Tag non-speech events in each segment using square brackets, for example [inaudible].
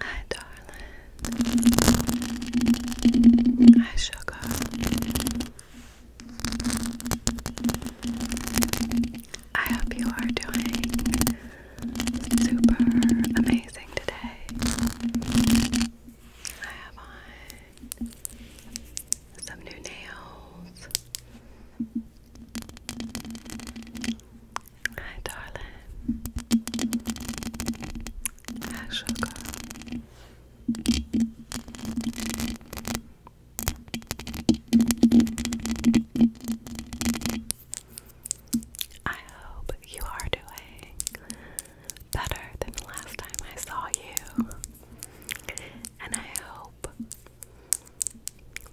Hi, darling. Hi, sugar. I hope you are doing super amazing today. I have on some new nails. Hi, darling. sugar. I hope you are doing better than the last time I saw you. And I hope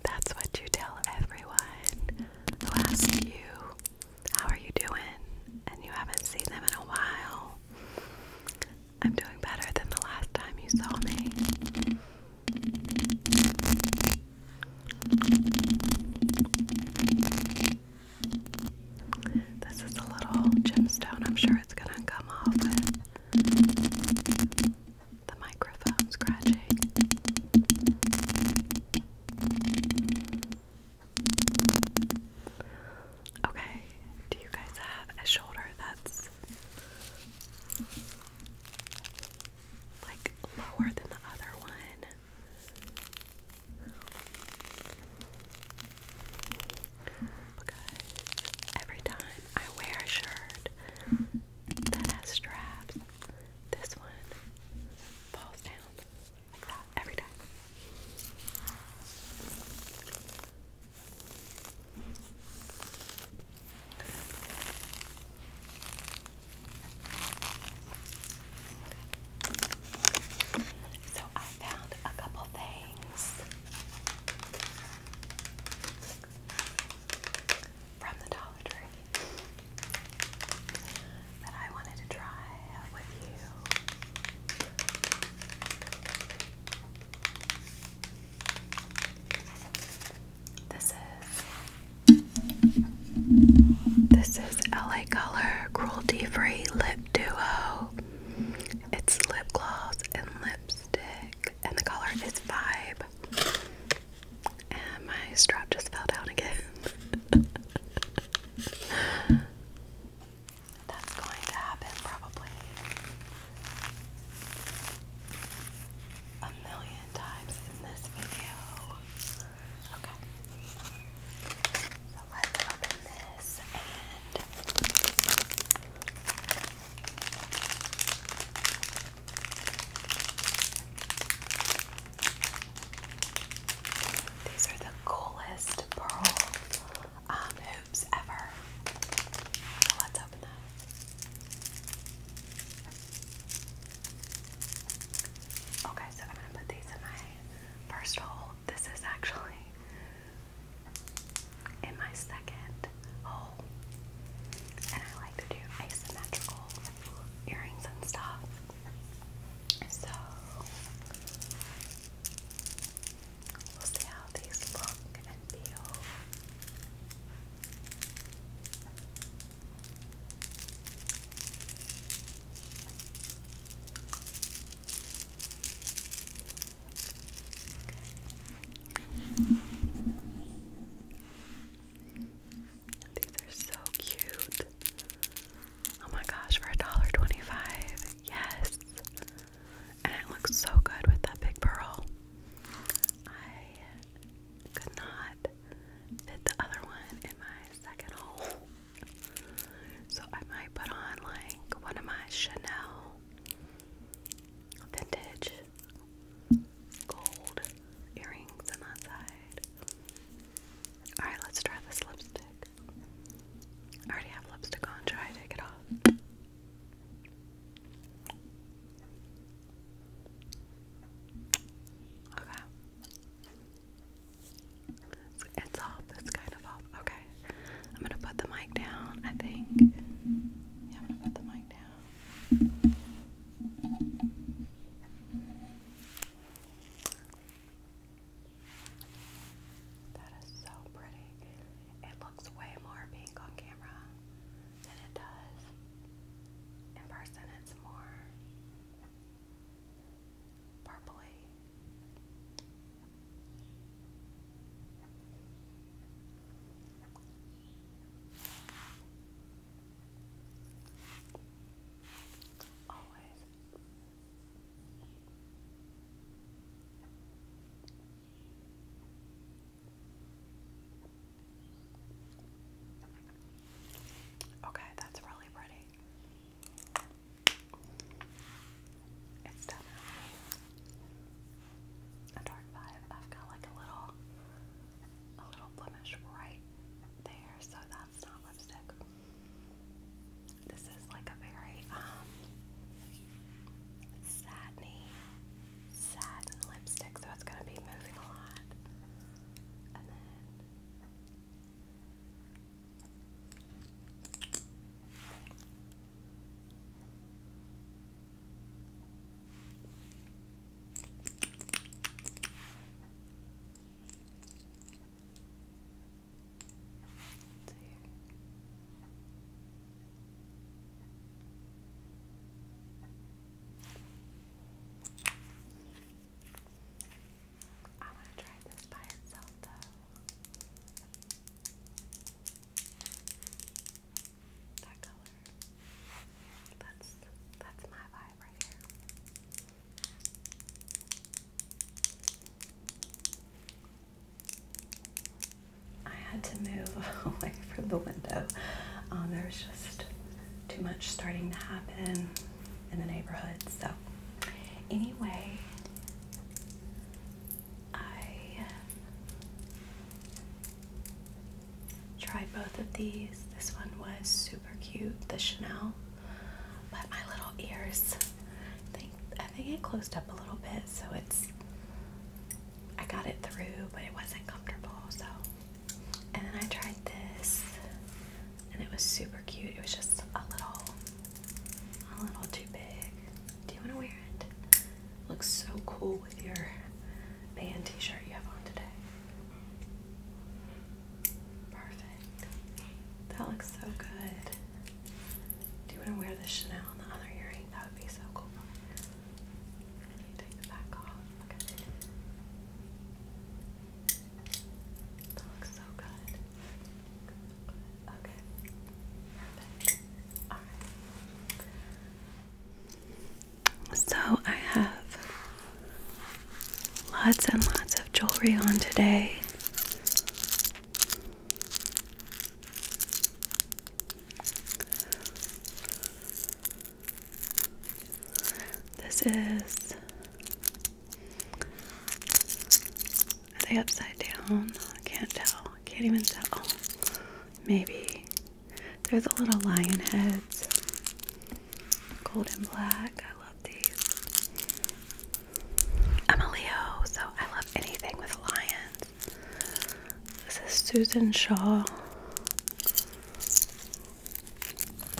that's what you tell everyone who asks you, How are you doing? and you haven't seen them in a while. I'm doing better than the last time you saw me. This is a little gemstone. I'm sure it's going to come off the microphone scratching. Okay, do you guys have a shoulder that's like lower than the other one? Because every time I wear a shirt that has straps, this one falls down like that every time. So I found a couple things from the Dollar Tree that I wanted to try with you. This is this is LA Color Cruelty Free Lip Duo. It's lip gloss and lip lipstick, and the color is Vibe. And my strap just fell down again. [laughs] That's going to happen probably a million times in this video. Okay. So let's open this these are the coolest pearl um, hoops ever. let's open them. Okay, so I'm gonna put these in my first hole. This is actually in my second hole. And I like to do asymmetrical earrings and stuff. So we'll see how these look and feel. These are so cute. Oh my gosh, for $1.25. Yes. And it looks so good with that big pearl. I could not fit the other one in my second hole. So I might put on like one of my Chanel vintage gold earrings on that side. Alright, let's try this lipstick. I already have lipstick on. Should take it off? Okay. it's off. It's kind of off. Okay. I'm gonna put the mic down, I think. Yeah, I'm gonna put the mic down. That is so pretty. It looks way more pink on camera than it does. In person, it's more purpley. Always. Okay, that's really pretty. It's definitely a dark five. I've got like a little, a little blemish right there, so that's not lipstick. This is like a very um satiny, satin lipstick, so it's gonna be moving a lot. I want to try this by itself, though. That color. That's that's my vibe right here. I had to move [laughs] away from the window. Um, there was just too much starting to happen in the neighborhood. So, anyway, I Try both of these. This one was super cute, the Chanel. But my little ears, I think it closed up a little bit, so it's I got it through, but it wasn't comfortable. So, and then I tried this, and it was super cute. It was just a little, a little too big. Do you want to wear it? Looks so cool with your band t-shirt you have on today. Perfect. That looks so good. Do you want to wear the Chanel on the other earring? That would be so cool. Can you take the back off? Okay. That looks so Good. So I have lots and lots of jewelry on today. This is are they upside down? I can't tell. I can't even tell maybe. They're the little lion heads. Gold and black. I love these. I'm a Leo, so I love anything with lions. This is Susan Shaw.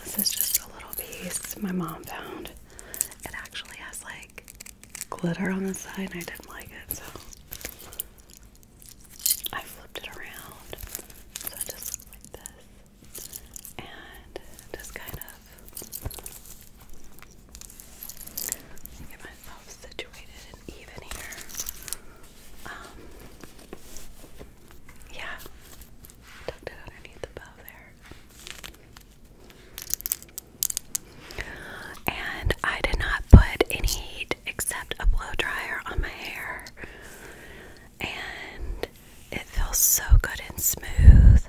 This is just a little piece my mom found. It actually has like glitter on the side, and I didn't like it, so I flipped it around so it just like this and just kind of get myself situated and even here. Um, yeah, tucked it underneath the bow there. And I did not put any heat except a blow dryer on my hair. And it feels so good and smooth.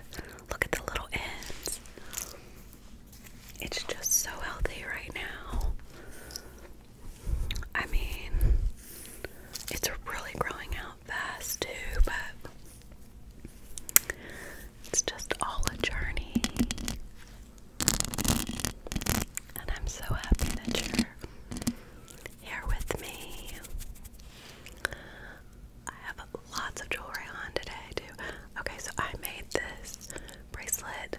Look at the little ends. It's just so healthy right now. I mean, it's really growing out fast too, but it's just all a journey. And I'm so happy that you're here with me. I have lots of jewelry on today, too. Okay, so I made this bracelet.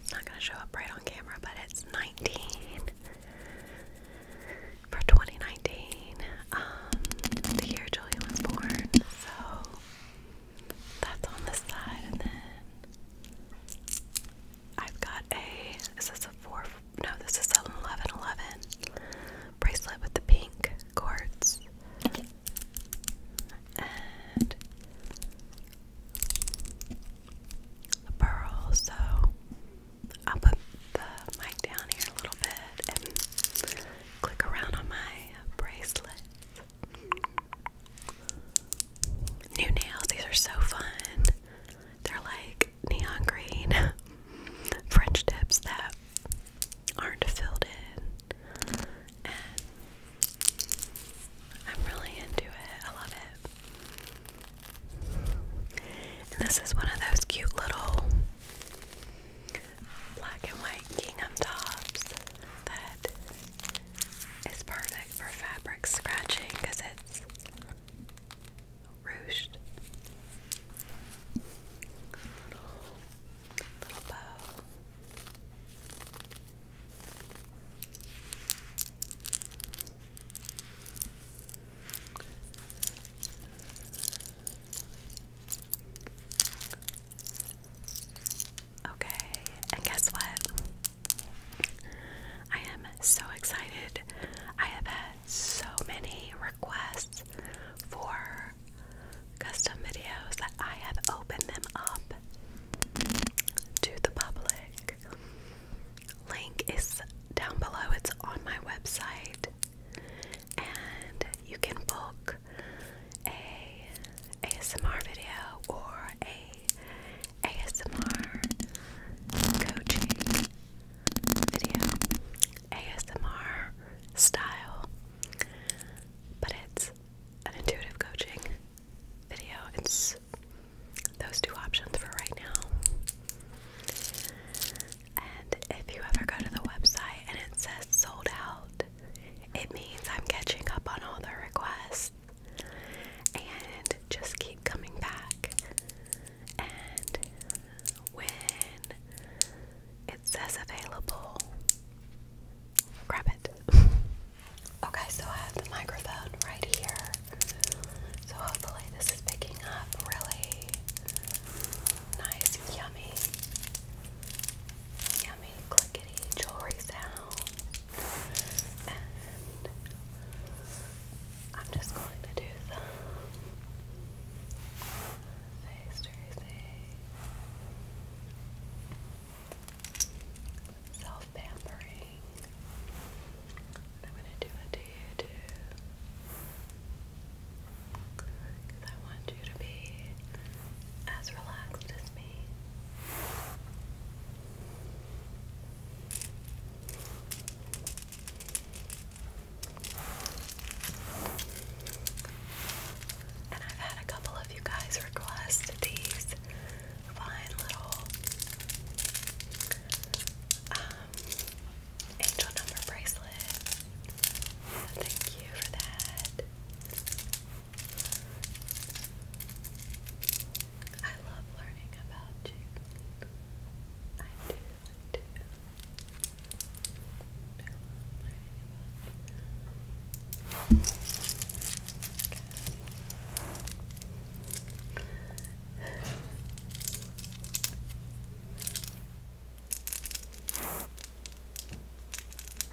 It's not going to show up right on camera, but it's 19 for 2019. Um, the year Julia was born, so that's on the side, and then I've got a. Is a four? No, this is an bracelet with the pink quartz, and the pearl. So I'll put the mic down here a little bit and click around on my bracelet. New nails, these are so fun. They're like neon green [laughs] French tips that aren't filled in. And I'm really into it. I love it. this is one of those cute little black and white gingham tops that it's perfect for fabric scratching because it's ruched. Little, bow. Okay, and guess what? I am so excited. I have had so many requests for custom videos that I have opened them up to the public. Link is down below, it's on my website, and you can book a ASMR video or a ASMR coaching video, ASMR style, but it's an intuitive coaching video. It's those two options for right now. And if you ever go to the website and it says sold out, it means I'm catching up on all the requests and just keep coming back. And when it says available, grab it. [laughs] okay, so I have the microphone right here. So hopefully, this is picking up really nice, yummy, yummy clickety jewelry sound and I'm just going to do some face tracing, self pampering. I'm going to do it to you too. I want you to be as relaxed and I've had a couple of you guys request these fine little um, angel number bracelets. thank you for that. I love learning about chickens. I do, I do.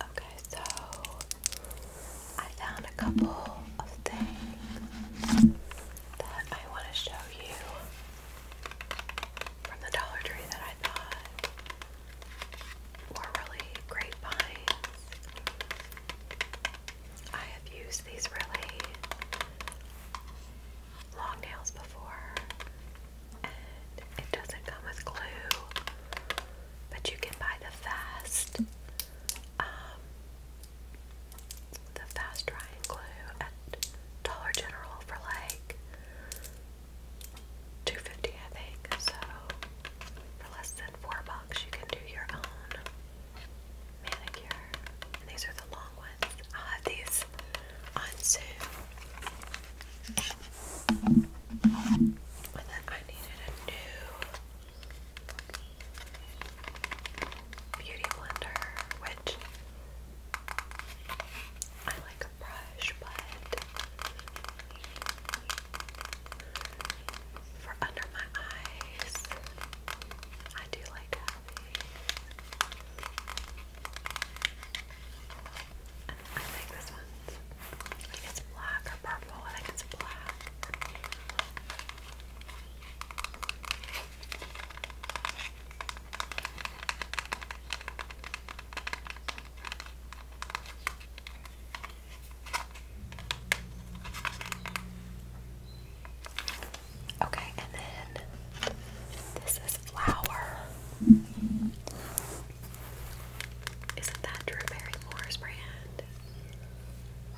Okay, so I found a couple of things that I want to show you from the Dollar Tree that I thought were really great I have used these really long nails before, and it doesn't come with glue, but you can buy the fast, um, the fast drying glue at Dollar General for like two fifty, I think. So for less than four bucks, you can do your own manicure. these are the long ones. I'll ah, have these on soon. And then I needed a new beauty blender, which I like a brush, but for under my eyes, I do like having. I think this one's. I think it's black or purple. I think it's black. I Okay, and then this is flower. Isn't that Drew Barrymore's brand?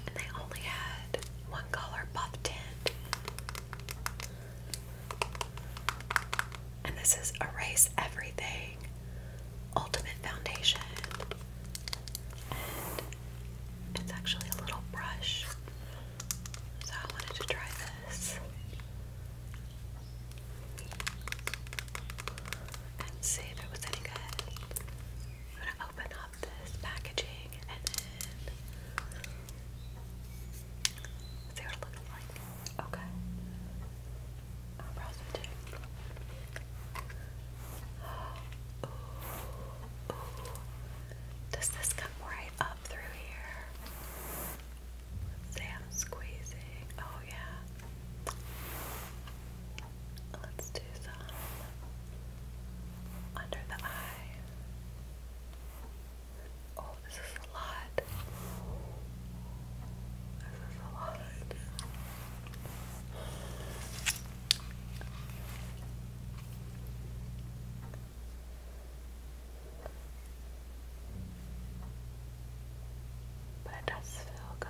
And they only had one color buff tint. And this is Erase Everything Ultimate Foundation. And it's actually a little brush. So I wanted to try this and see if it was any good. I'm going to open up this packaging and then see what it looks like. Okay. I'll browse Does this come right up through here? let squeezing. Oh, yeah. Let's do some under the eye. Oh, this is a lot. This is a lot. But it does feel good.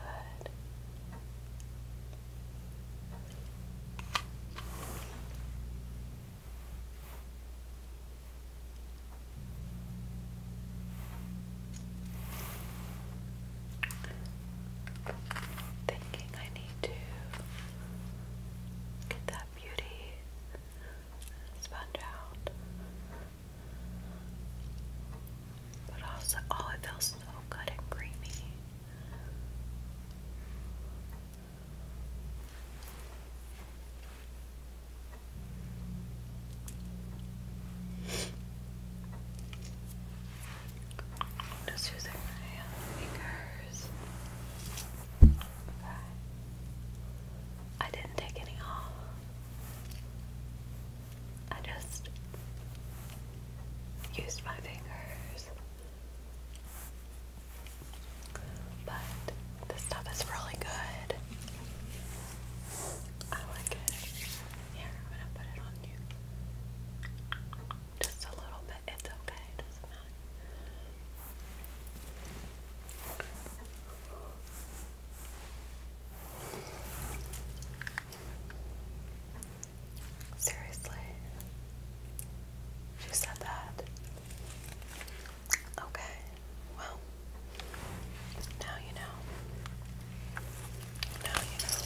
Thinking I need to get that beauty sponge out. But also, oh, it feels so good and creamy. Just using my fingers. I didn't take any off. I just used my fingers. But this stuff is really good. I like it. Here, I'm gonna put it on you. Just a little bit. It's okay. doesn't matter. Seriously? She said that? Okay. Well, now you know. Now you know.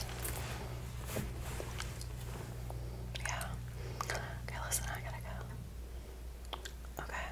Yeah. Okay, listen, I gotta go. Okay.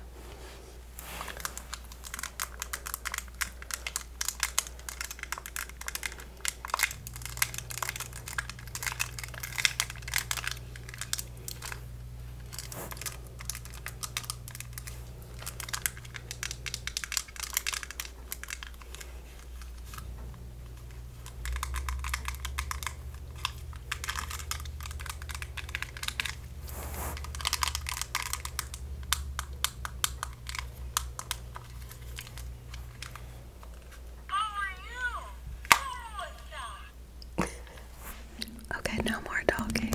Okay, no more talking.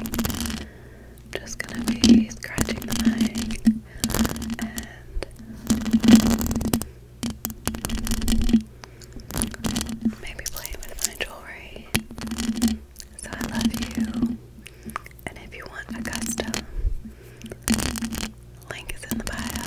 I'm just gonna be scratching the mic and maybe playing with my jewelry. So I love you. And if you want a link is in the bio.